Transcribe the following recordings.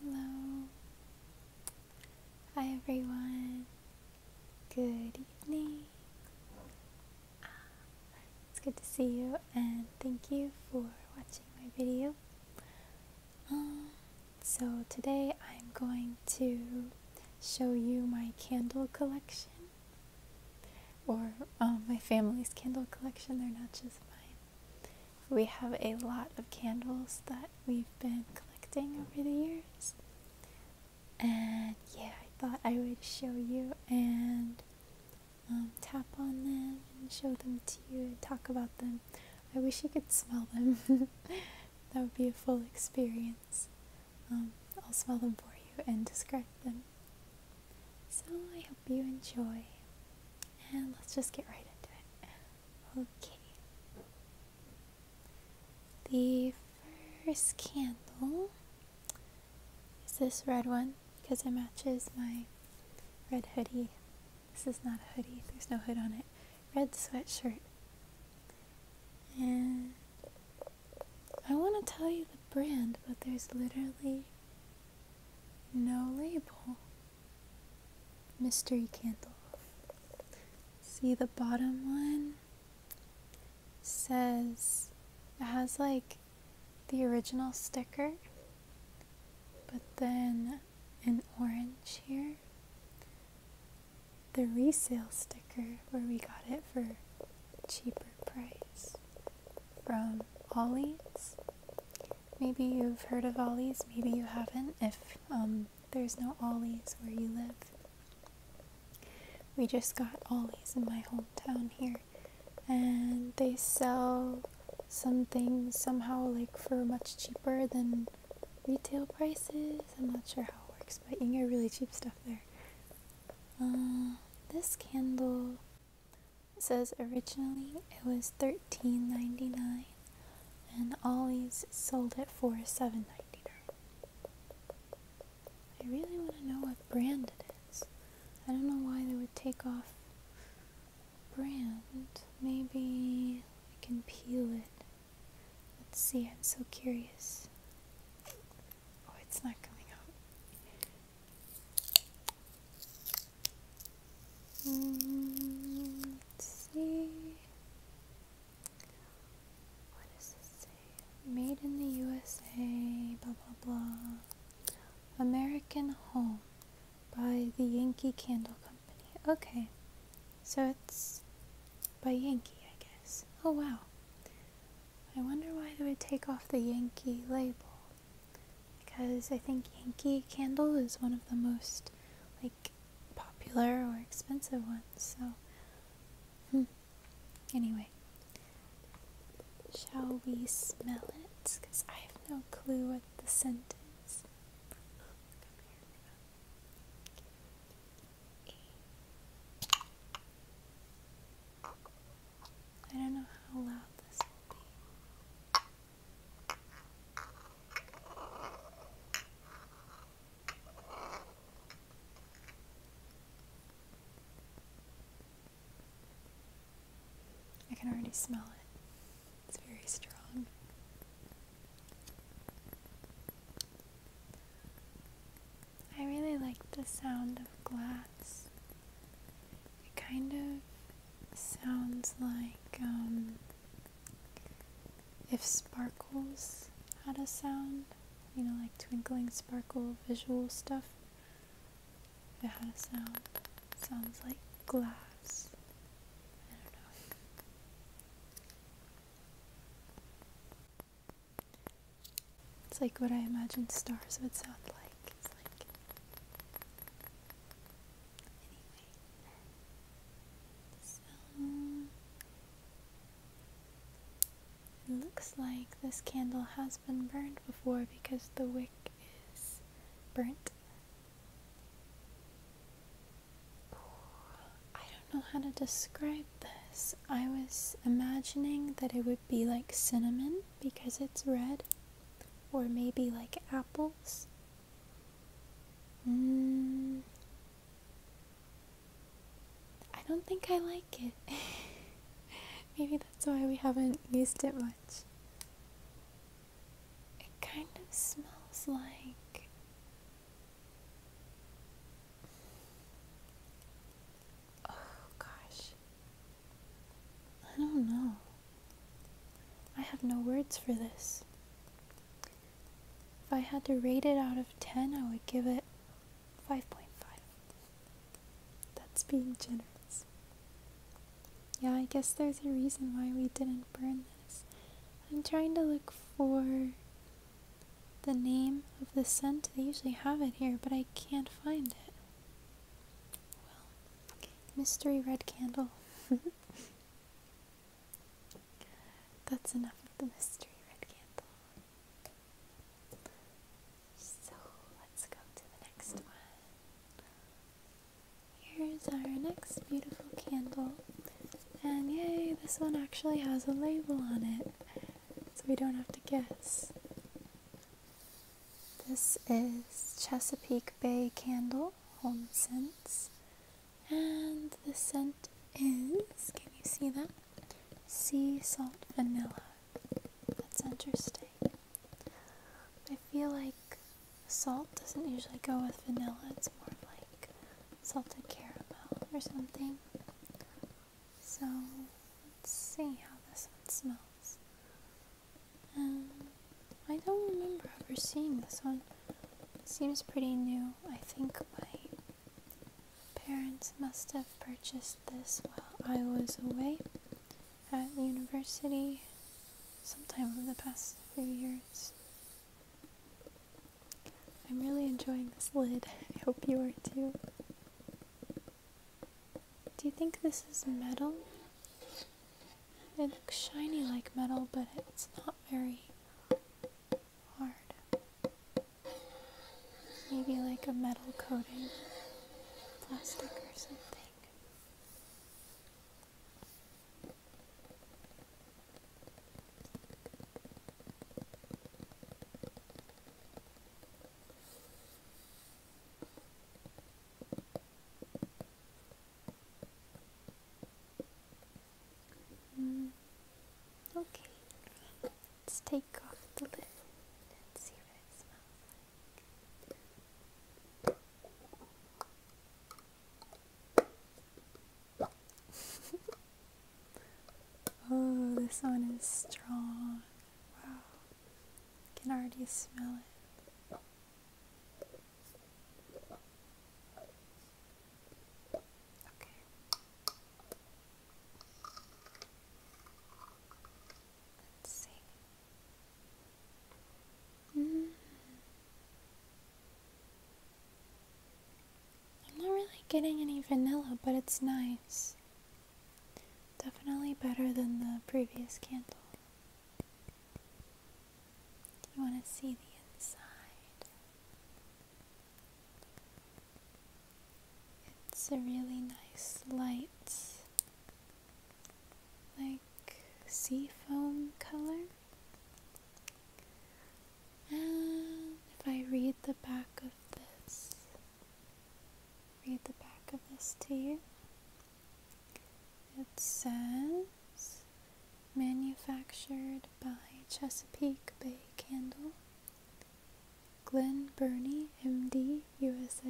Hello. Hi everyone. Good evening. Uh, it's good to see you and thank you for watching my video. Um, so today I'm going to show you my candle collection or um, my family's candle collection. They're not just mine. We have a lot of candles that we've been collecting over the years. And yeah, I thought I would show you and um, tap on them and show them to you and talk about them. I wish you could smell them. that would be a full experience. Um, I'll smell them for you and describe them. So I hope you enjoy. And let's just get right into it. Okay. The first candle is this red one because it matches my red hoodie. This is not a hoodie, there's no hood on it. Red sweatshirt. And I want to tell you the brand, but there's literally no label mystery candle. See the bottom one says it has like the original sticker, but then an orange here. The resale sticker where we got it for cheaper price from from Ollie's. Maybe you've heard of Ollie's, maybe you haven't, if um, there's no Ollie's where you live. We just got Ollie's in my hometown here, and they sell some things somehow like for much cheaper than retail prices. I'm not sure how it works, but you can get really cheap stuff there. Uh, this candle it says originally it was $13.99 and always sold it for $7.99. I really want to know what brand it is. I don't know why they would take off brand. Maybe I can peel it. Let's see, I'm so curious. Oh, it's not coming out. Mm, let's see. What does this say? Made in the USA, blah blah blah. American Home by the Yankee Candle Company. Okay, so it's by Yankee, I guess. Oh wow. I wonder why they would take off the Yankee label because I think Yankee Candle is one of the most like popular or expensive ones. So, hmm. anyway, shall we smell it? Because I have no clue what the scent is. I don't know how loud this will be. I can already smell it. It's very strong. I really like the sound of glass. It kind of sounds like um, if sparkles had a sound, you know, like twinkling, sparkle, visual stuff. If it had a sound, sounds like glass. It's like what I imagine stars would sound like it looks like this candle has been burned before because the wick is burnt. I don't know how to describe this. I was imagining that it would be like cinnamon because it's red, or maybe like apples? Hmm. I don't think I like it. maybe that's why we haven't used it much. It kind of smells like. Oh gosh. I don't know. I have no words for this. If I had to rate it out of 10, I would give it 5.5. That's being generous. Yeah, I guess there's a reason why we didn't burn this. I'm trying to look for the name of the scent. They usually have it here, but I can't find it. Well, Mystery red candle. That's enough of the mystery red candle. So let's go to the next one. Here's our next beautiful candle. And yay, this one actually has a label on it. So we don't have to guess. This is Chesapeake Bay Candle Home Scents, and the scent is can you see that? Sea salt vanilla. That's interesting. I feel like salt doesn't usually go with vanilla, it's more like salted caramel or something. So let's see how this one smells. Um, I don't remember ever seeing this one. It seems pretty new. I think my parents must have purchased this while I was away at university sometime over the past few years. I'm really enjoying this lid. I hope you are too. Do you think this is metal? It looks shiny like metal, but it's not very hard. Maybe like a metal coating, plastic or something. Mm, okay, let's take off the lid and see what it smells like. oh, this one is strong. Wow, I can already smell it. Okay. Let's see. Mm. I'm not really getting any vanilla, but it's nice. Definitely better than the previous candle. You want to see the inside. It's a really nice light, like sea foam color. if I read the back of this, read the back of this to you. It says manufactured by Chesapeake Bay Candle, Glen Burnie, MD, USA.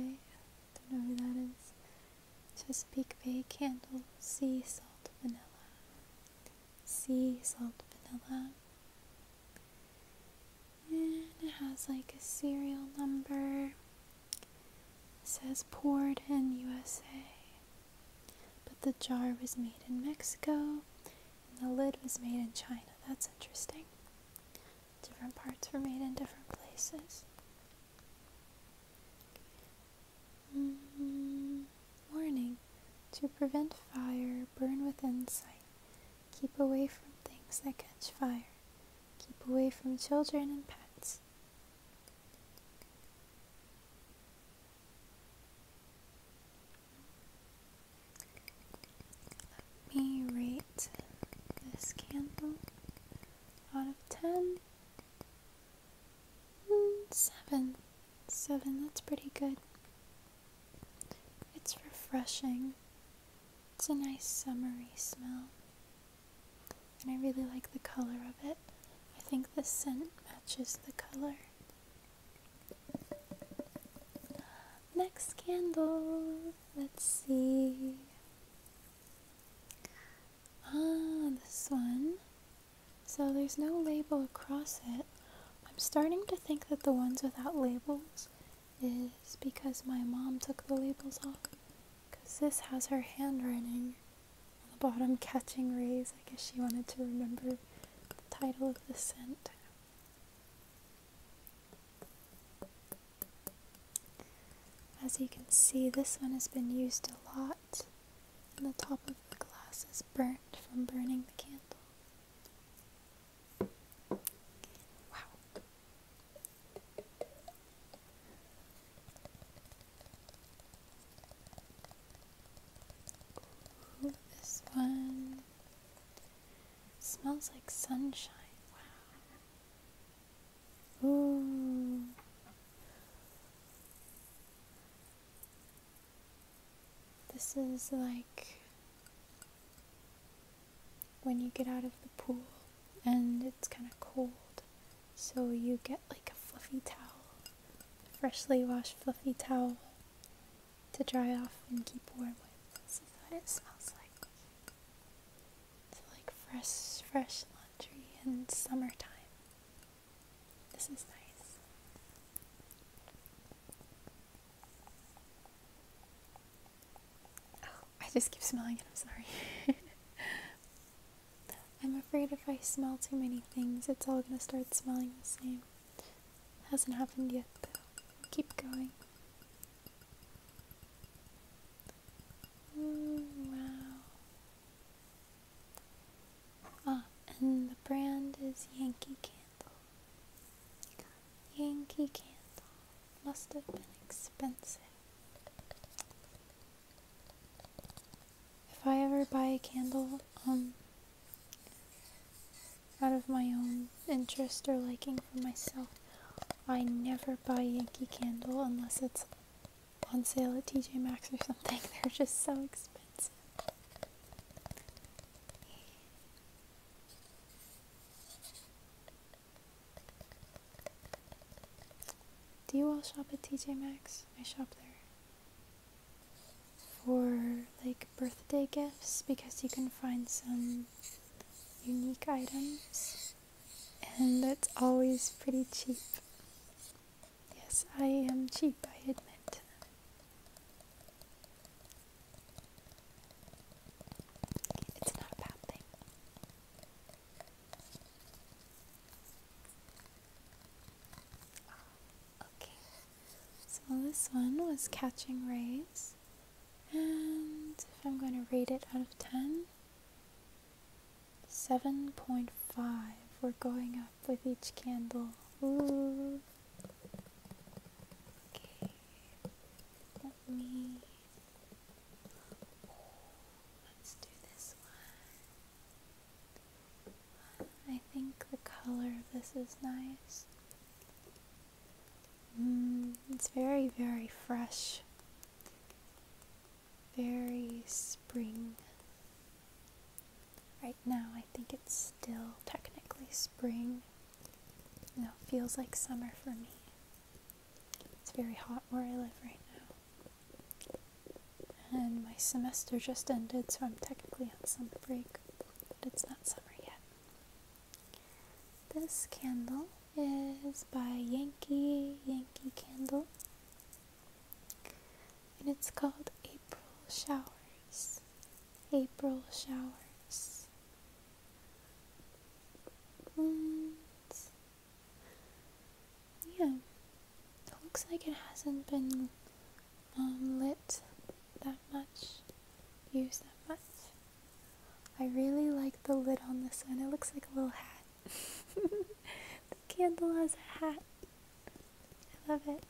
Don't know who that is. Chesapeake Bay Candle, sea salt vanilla. Sea salt vanilla. And it has like a serial number. It says poured in USA. But the jar was made in Mexico and the lid was made in China. That's interesting. Different parts were made in different places. Mm-hmm. Warning. To prevent fire, burn within sight. Keep away from things that catch fire. Keep away from children and pets. Let me rate this candle out of 10. 7. 7, that's pretty good. It's refreshing. It's a nice summery smell, and I really like the color of it. I think the scent matches the color. Next candle, let's see. Ah, this one. So there's no label across it. I'm starting to think that the ones without labels is because my mom took the labels off. Because this has her handwriting on the bottom, Catching Rays. I guess she wanted to remember the title of the scent. As you can see, this one has been used a lot, and the top of the glass is burnt from burning the candle. Wow this one smells like sunshine. Wow. Ooh. This is like when you get out of the pool and it's kind of cold. So you get like a fluffy towel, freshly washed fluffy towel to dry off and keep warm with. So that it smells like. like fresh, fresh laundry in summertime. This is nice. Oh, I just keep smelling it, I'm sorry. I'm afraid if I smell too many things, it's all gonna start smelling the same. hasn't happened yet, but keep going. Mm, wow. Ah, and the brand is Yankee Candle. Yankee Candle must have been expensive. If I ever buy a candle, um, out of my own interest or liking for myself, I never buy Yankee Candle unless it's on sale at TJ Maxx or something. They're just so expensive. Do you all shop at TJ Maxx? I shop there for like birthday gifts because you can find some unique items and that's always pretty cheap. Yes, I am cheap, I admit. It's not a bad thing. Ah, okay, so this one was Catching Rays, and if I'm going to rate it out of 10, 7.5. We're going up with each candle. Ooh. Okay, let me Let's do this one. I think the color of this is nice. Mm, it's very, very fresh. Very spring. Right now, I think it's still technically spring. No, it feels like summer for me. It's very hot where I live right now. And my semester just ended, so I'm technically on summer break, but it's not summer yet. This candle is by Yankee Yankee Candle, and it's called April Showers. April Showers yeah, it looks like it hasn't been um, lit that much, used that much. I really like the lid on this one. It looks like a little hat. the candle has a hat. I love it.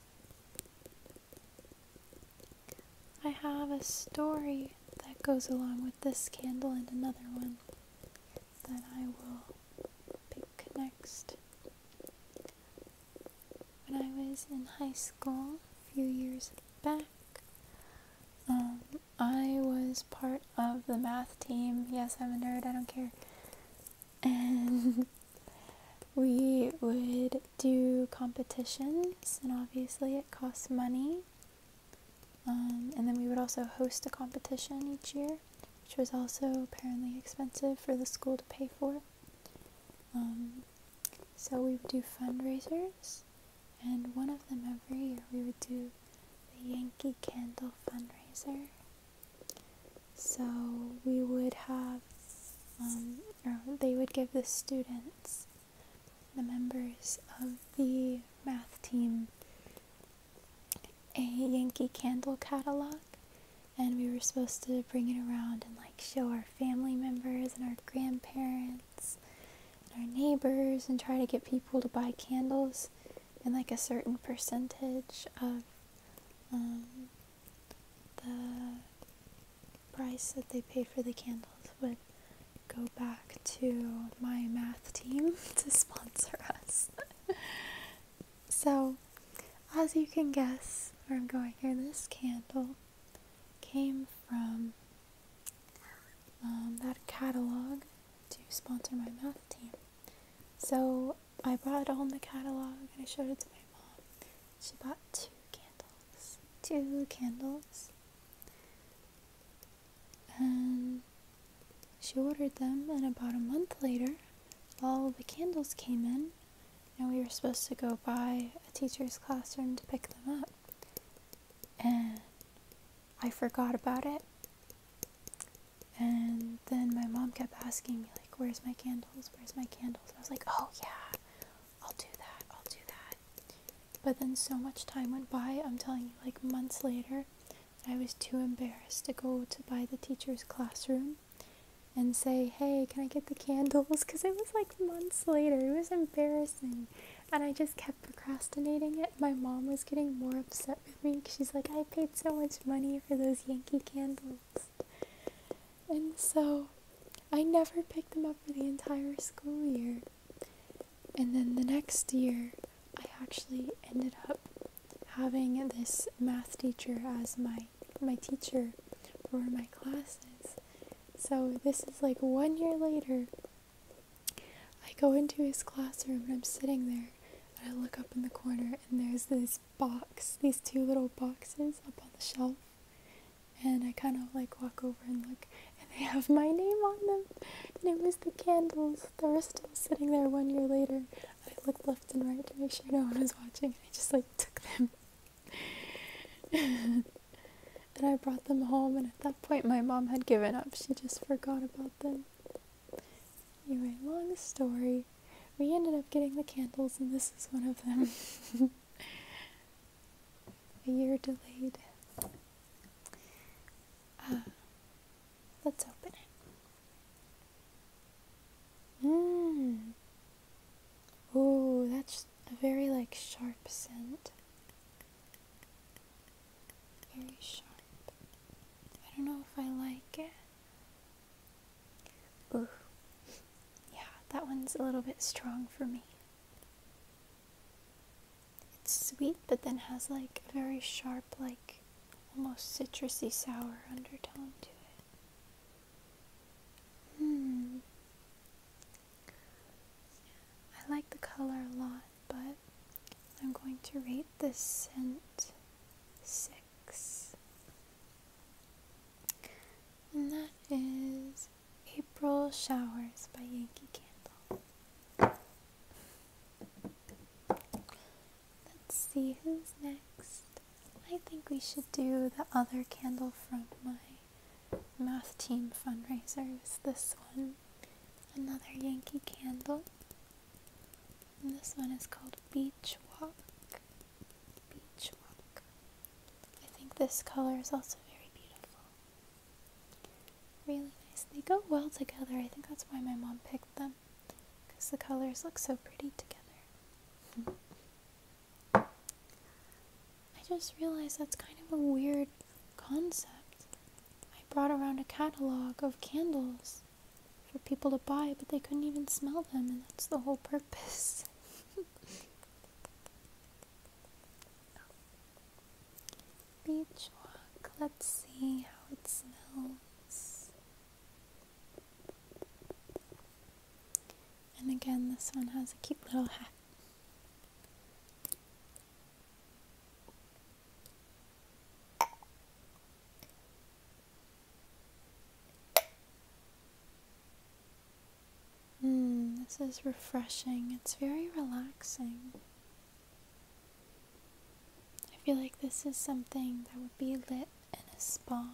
I have a story that goes along with this candle and another one that I will pick next. When I was in high school a few years back, um, I was part of the math team. Yes, I'm a nerd, I don't care. And we would do competitions, and obviously it costs money. Um, and then we would also host a competition each year, which was also apparently expensive for the school to pay for. Um, so we would do fundraisers, and one of them every year we would do the Yankee Candle fundraiser. So we would have, um, or they would give the students the members of the math team a Yankee Candle catalog, and we were supposed to bring it around and like show our family members and our grandparents and our neighbors and try to get people to buy candles and like a certain percentage of um, the price that they paid for the candles would go back to my math team to sponsor us. so, as you can guess where I'm going here, this candle came from um, that catalog to sponsor my math team. So I brought home the catalog and I showed it to my mom. She bought two candles. Two candles. And she ordered them, and about a month later, all the candles came in, and we were supposed to go by a teacher's classroom to pick them up. And I forgot about it. And then my mom kept asking me, like, where's my candles? Where's my candles? I was like, oh yeah, I'll do that, I'll do that. But then so much time went by, I'm telling you, like months later, I was too embarrassed to go to buy the teacher's classroom and say, hey, can I get the candles? Because it was like months later. It was embarrassing. And I just kept procrastinating it. My mom was getting more upset with me. She's like, I paid so much money for those Yankee candles. And so I never picked them up for the entire school year. And then the next year, I actually ended up having this math teacher as my my teacher for my classes. So this is like one year later. I go into his classroom and I'm sitting there and I look up in the corner and there's this box, these two little boxes up on the shelf and I kind of like walk over and look, and they have my name on them. And it was the candles they were still sitting there one year later. I looked left and right to make sure no one was watching, and I just like took them. and I brought them home, and at that point, my mom had given up. She just forgot about them. Anyway, long story. We ended up getting the candles, and this is one of them. a year delayed. Uh, let's open it. Mmm. Ooh, that's a very like sharp scent. Very sharp. I don't know if I like it. Ooh. Yeah, that one's a little bit strong for me. It's sweet, but then has like a very sharp, like almost citrusy sour undertone to it. Hmm. I like the color a lot, but I'm going to rate this scent six. And that is April Showers by Yankee Candle. Let's see who's next. I think we should do the other candle from my math team fundraiser. fundraisers. This one, another Yankee Candle. this one is called Beach Walk. Beach Walk. I think this color is also very beautiful. Really nice. They go well together. I think that's why my mom picked them because the colors look so pretty together. I just realized that's kind of a weird concept. I brought around a catalog of candles for people to buy, but they couldn't even smell them, and that's the whole purpose. Beach Let's see how it smells. And again, this one has a cute little hat. Hmm, this is refreshing. It's very relaxing. I feel like this is something that would be lit in a spa.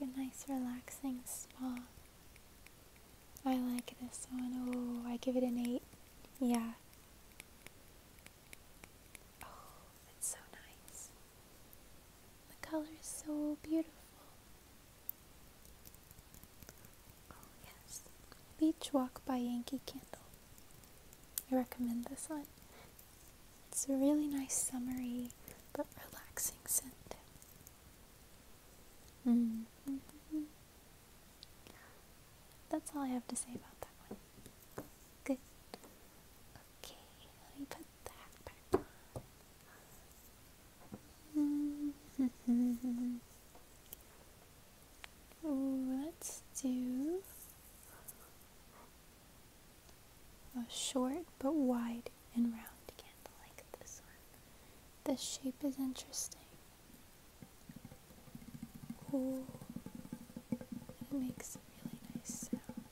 Like a nice relaxing spa. I like this one. Oh, I give it an 8. Yeah. Oh, it's so nice. The color is so beautiful. Oh, yes. Beach Walk by Yankee Candle. I recommend this one. It's a really nice summery but relaxing scent. Mm-hmm. That's all I have to say about that one. Good. Okay, let me put that back on. Mm-hmm. Let's do a short but wide and round candle like this one. The shape is interesting. Ooh, it makes a really nice sound.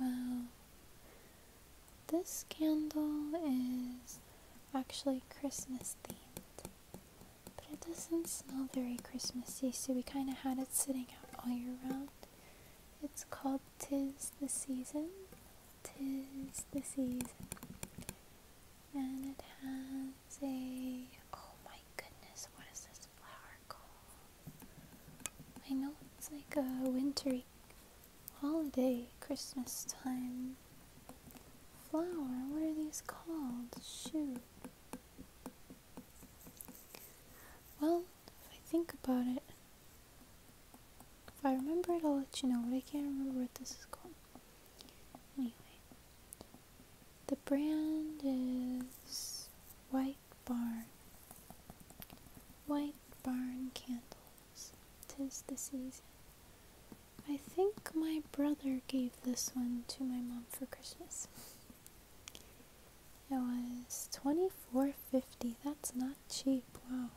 Wow. This candle is actually Christmas themed, but it doesn't smell very Christmassy, so we kind of had it sitting out all year round. It's called Tis the season, tis the season, and it has a. Oh my goodness, what is this flower called? I know it's like a wintry holiday, Christmas time flower. What are these called? Shoot. Well, if I think about it, if I remember it, I'll let you know, but I can't remember what this is called. Anyway, the brand is White Barn. White Barn Candles. Tis the season. I think my brother gave this one to my mom for Christmas. It was twenty four fifty. That's not cheap. Wow.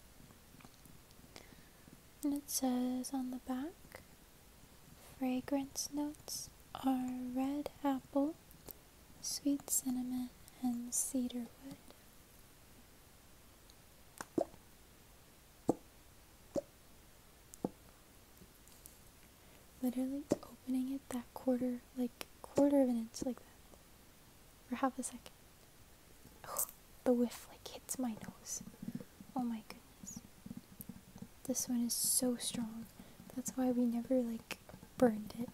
And it says on the back fragrance notes are red apple, sweet cinnamon, and cedarwood. Literally opening it that quarter, like quarter of an inch like that, for half a second. Oh, the whiff like hits my nose. Oh my goodness. This one is so strong. That's why we never like burned it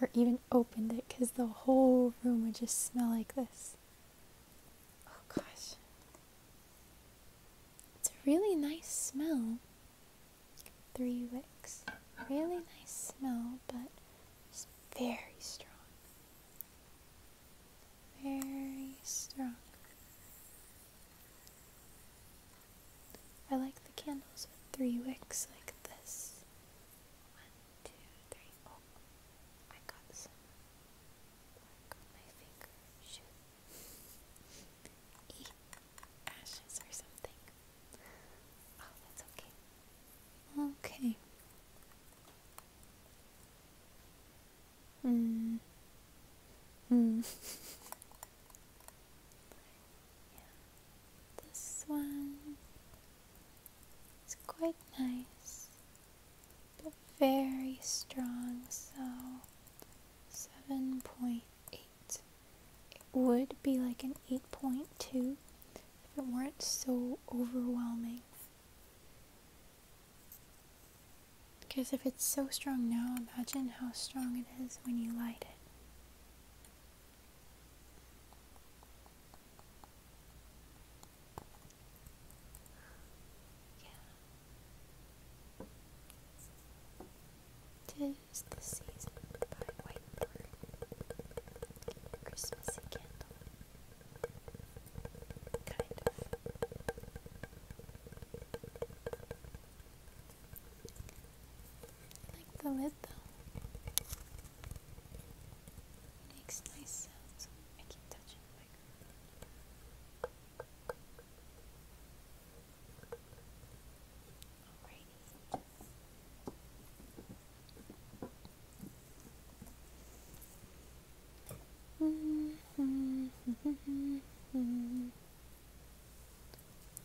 or even opened it because the whole room would just smell like this. Oh gosh. It's a really nice smell. Three wicks. Really nice smell, but very strong. Very strong. I like the candles with three wicks like this. One, two, three. Oh, I got some on my finger. ashes or something. Oh, that's okay. Okay. Hmm. Hmm. yeah. This one is quite nice, but very strong, so 7.8. It would be like an 8.2 if it weren't so overwhelming. Because if it's so strong now, imagine how strong it is when you light it. Tis the season by Whitebird. Christmas again. Kind of. I like the lid though. makes nice sounds. I keep touching the microphone.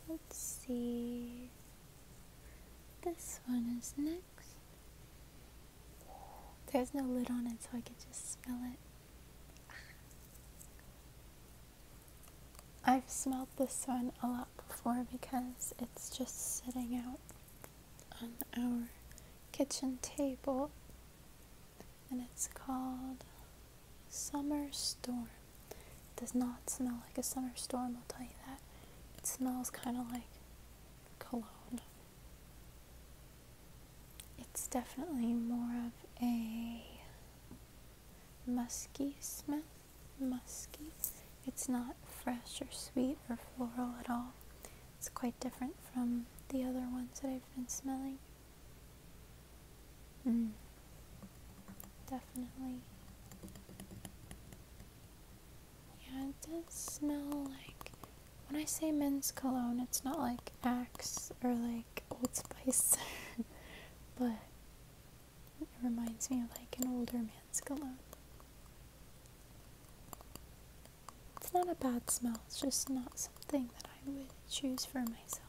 Let's see. This one is next. There's no lid on it, so I can just smell it. I've smelled this one a lot before because it's just sitting out on our kitchen table and it's called Summer Storm. It does not smell like a summer storm, I'll tell you that. It smells kind of like cologne. It's definitely more of a musky smell musky. It's not fresh or sweet or floral at all. It's quite different from the other ones that I've been smelling. Mm. Definitely. Yeah, it does smell like. When I say men's cologne, it's not like Axe or like Old Spice, but it reminds me of like an older man's cologne. It's not a bad smell, it's just not something that I would choose for myself.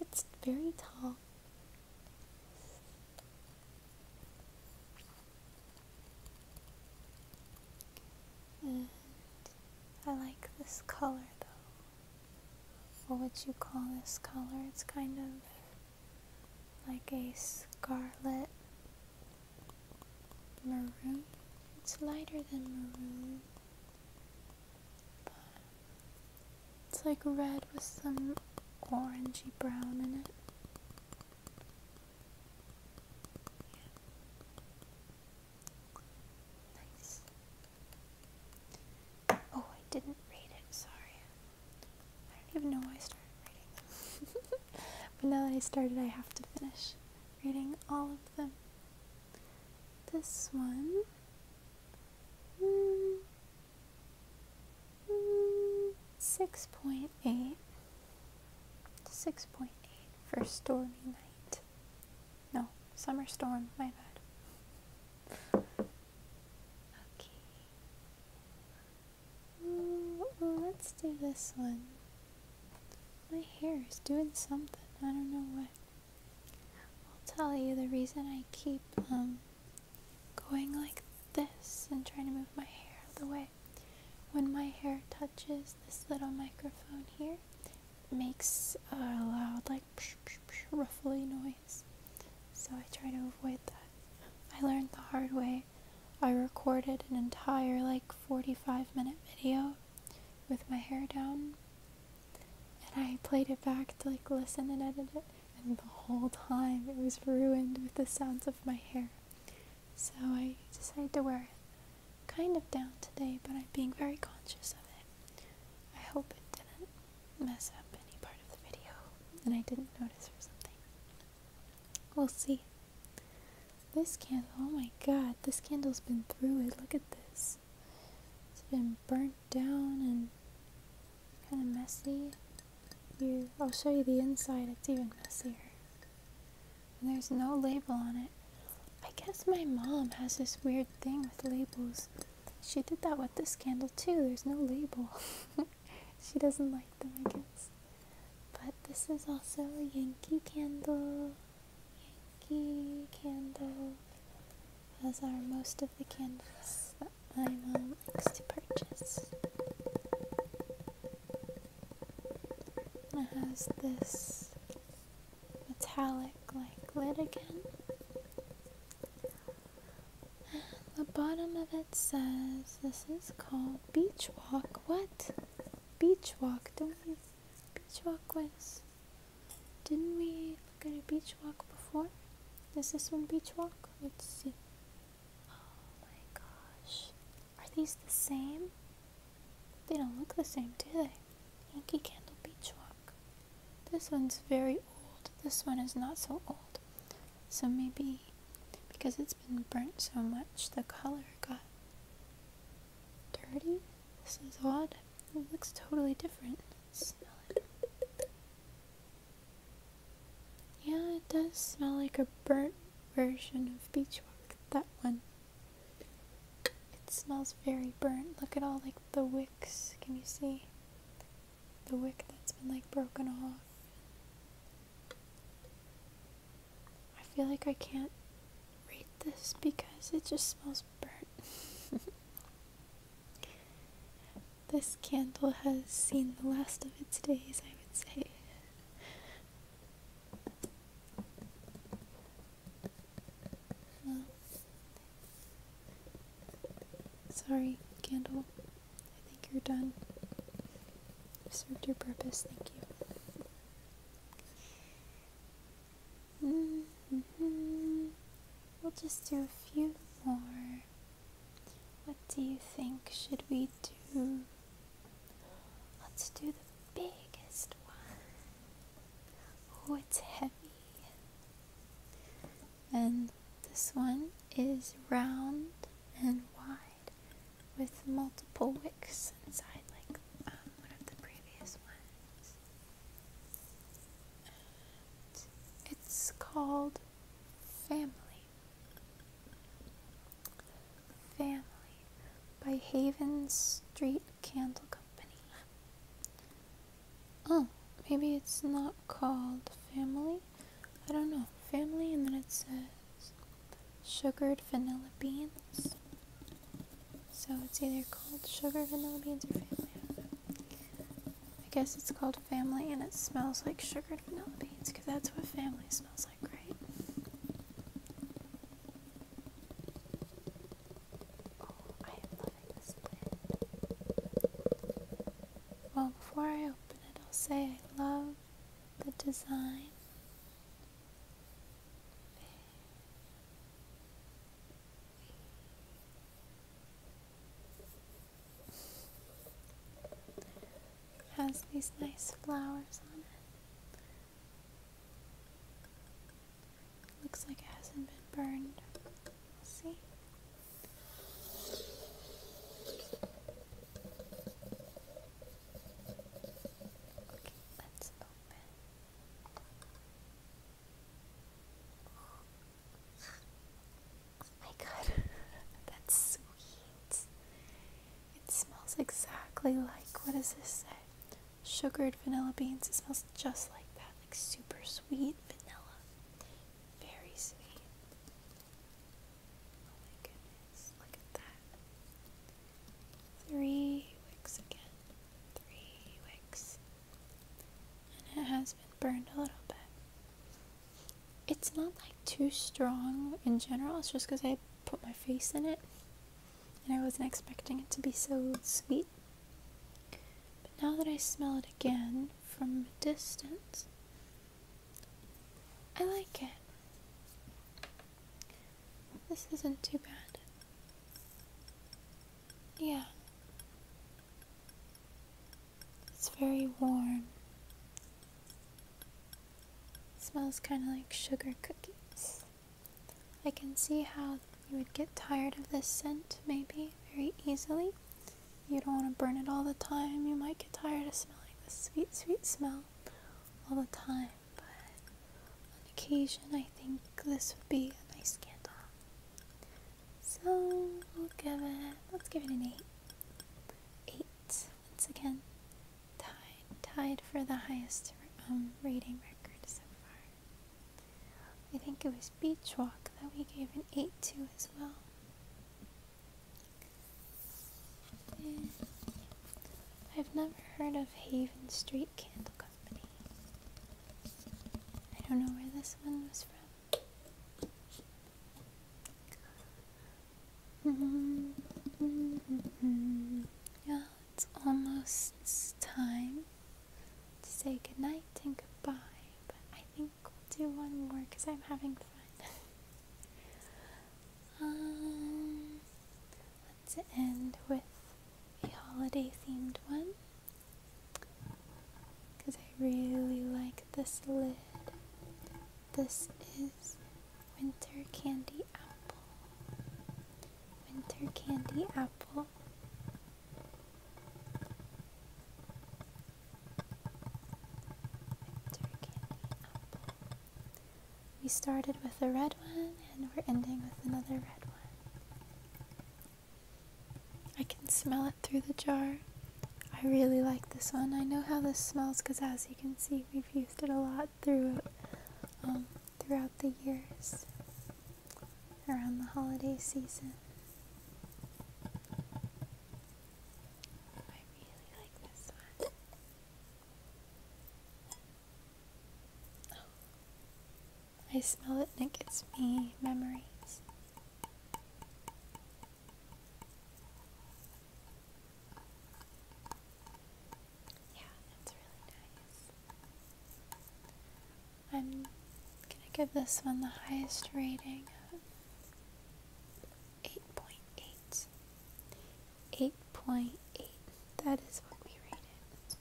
It's very tall. I like this color though. What would you call this color. It's kind of like a scarlet maroon. It's lighter than maroon. it's like red with some orangey brown in it. Yeah. Nice. Oh, I didn't read it, sorry. I don't even know why I started reading them. but now that I started, I have to finish reading all of them. This one. Mm, 6.8. 6.8 for stormy night. No, summer storm, my bad. Okay. let's do this one. My hair is doing something. I don't know what. I'll tell you the reason I keep um going like this and trying to move my hair out of the way. When my hair touches this little microphone here, makes a loud like like psh, psh, psh, ruffly noise. So I try to avoid that. I learned the hard way. I recorded an entire like 45 minute video with my hair down and I played it back to like listen and edit it and the whole time it was ruined with the sounds of my hair. So I decided to wear it kind of down today, but I'm being very conscious of it. I hope it didn't mess up any part of the video and I didn't notice or something. We'll see. This candle, oh my god, this candle's been through it. Look at this. It's been burnt down and kind of messy. Here, I'll show you the inside. It's even messier. And there's no label on it. I guess my mom has this weird thing with labels she did that with this candle too. There's no label. she doesn't like them, I guess. But this is also a Yankee candle. Yankee candle. As are most of the candles that my mom likes to purchase. It has this metallic like lid again the bottom of it says this is called Beach Walk. What? Beach Walk. Don't we? Beach Walk was. Didn't we look at a Beach Walk before? Is this one Beach Walk? Let's see. Oh my gosh. Are these the same? They don't look the same, do they? Yankee Candle Beach Walk. This one's very old. This one is not so old. So maybe because it's been burnt so much, the color got dirty. This is odd. It looks totally different. smell it. Yeah, it does smell like a burnt version of beach beechwood. That one. It smells very burnt. Look at all like the wicks. Can you see? the wick that's been like broken off. I feel like I can't read this because it just smells burnt. this candle has seen the last of its days, I would say sorry, candle. I think you're done. served your purpose, thank you. Mm -hmm. We'll just do a few more. What do you think? Should we do? Let's do the biggest one. Oh, it's heavy. And this one is round and wide with multiple wicks inside, like um, one of the previous ones. it's called Family. Family by Haven Street Candle Company. Oh, maybe it's not called family? I don't know. Family, and then it says sugared vanilla beans. So it's either called sugar vanilla beans or family. I guess it's called family, and it smells like sugared vanilla beans because that's what family smells like, right? Oh, I am loving this plant. Well, before I open it, I'll say I love the design. It has these nice flowers on it. Looks like it hasn't been burned. Let's see. Okay, let's open. Oh my god, that's sweet. It smells exactly like what does this say? sugared vanilla beans. It smells just like that, like super sweet vanilla. Very sweet. Oh look at that. Three wicks again. Three wicks. And it has been burned a little bit. It's not like too strong in general, it's just because I put my face in it and I wasn't expecting it to be so sweet. But now that I smell it again from a distance, I like it. This isn't too bad. Yeah. It's very warm. smells kind of like sugar cookies. I can see how you would get tired of this scent, maybe, very easily. You don't want to burn it all the time. You might get tired of smelling the sweet, sweet smell all the time, but on occasion, I think this would be a nice candle. So, we'll give it, let's give it an 8. 8, once again, tied, tied for the highest um, rating record so far. I think it was Beach Walk that we gave an 8 to as well. I've never heard of Haven Street Candle Company. I don't know where this one was from. Mm-hmm. Mm-hmm. Mm-hmm. Yeah it's almost time to say goodnight and goodbye, but I think we'll do one more because I'm having fun. Um, let's end with a holiday themed one because I really like this lid. This is Winter Candy Apple. Winter Candy Apple we started with a red one and we're ending with another red one. I can smell it through the jar. I really like this one. I know how this smells because as you can see we've used it a lot through um, throughout the years around the holiday season. I really like this one. Oh. I smell it and it gets me memories. Yeah, that's really nice. I'm gonna give this one the highest rating 8.8. 8.8. That is what we rated.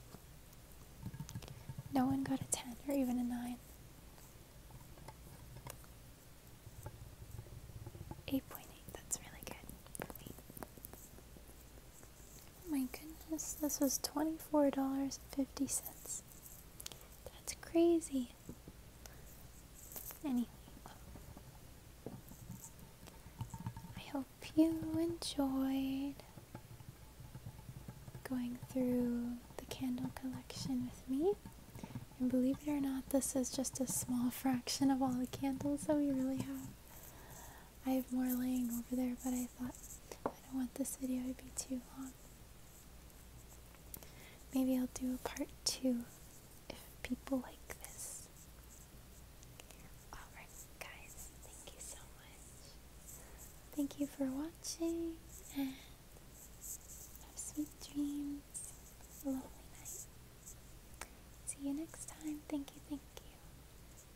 No one got a 10 or even a 9. 8.8, that's really good for me. Oh my goodness, this was $24.50. That's crazy. Anyway, I hope you enjoyed going through the candle collection with me. And believe it or not, this is just a small fraction of all the candles that we really have. I have more laying over there, but I thought I don't want this video to be too long. Maybe I'll do a part two if people like this. Alright, guys, thank you so much. Thank you for watching, and have sweet dreams, lovely night. See you next time. Thank you, thank you.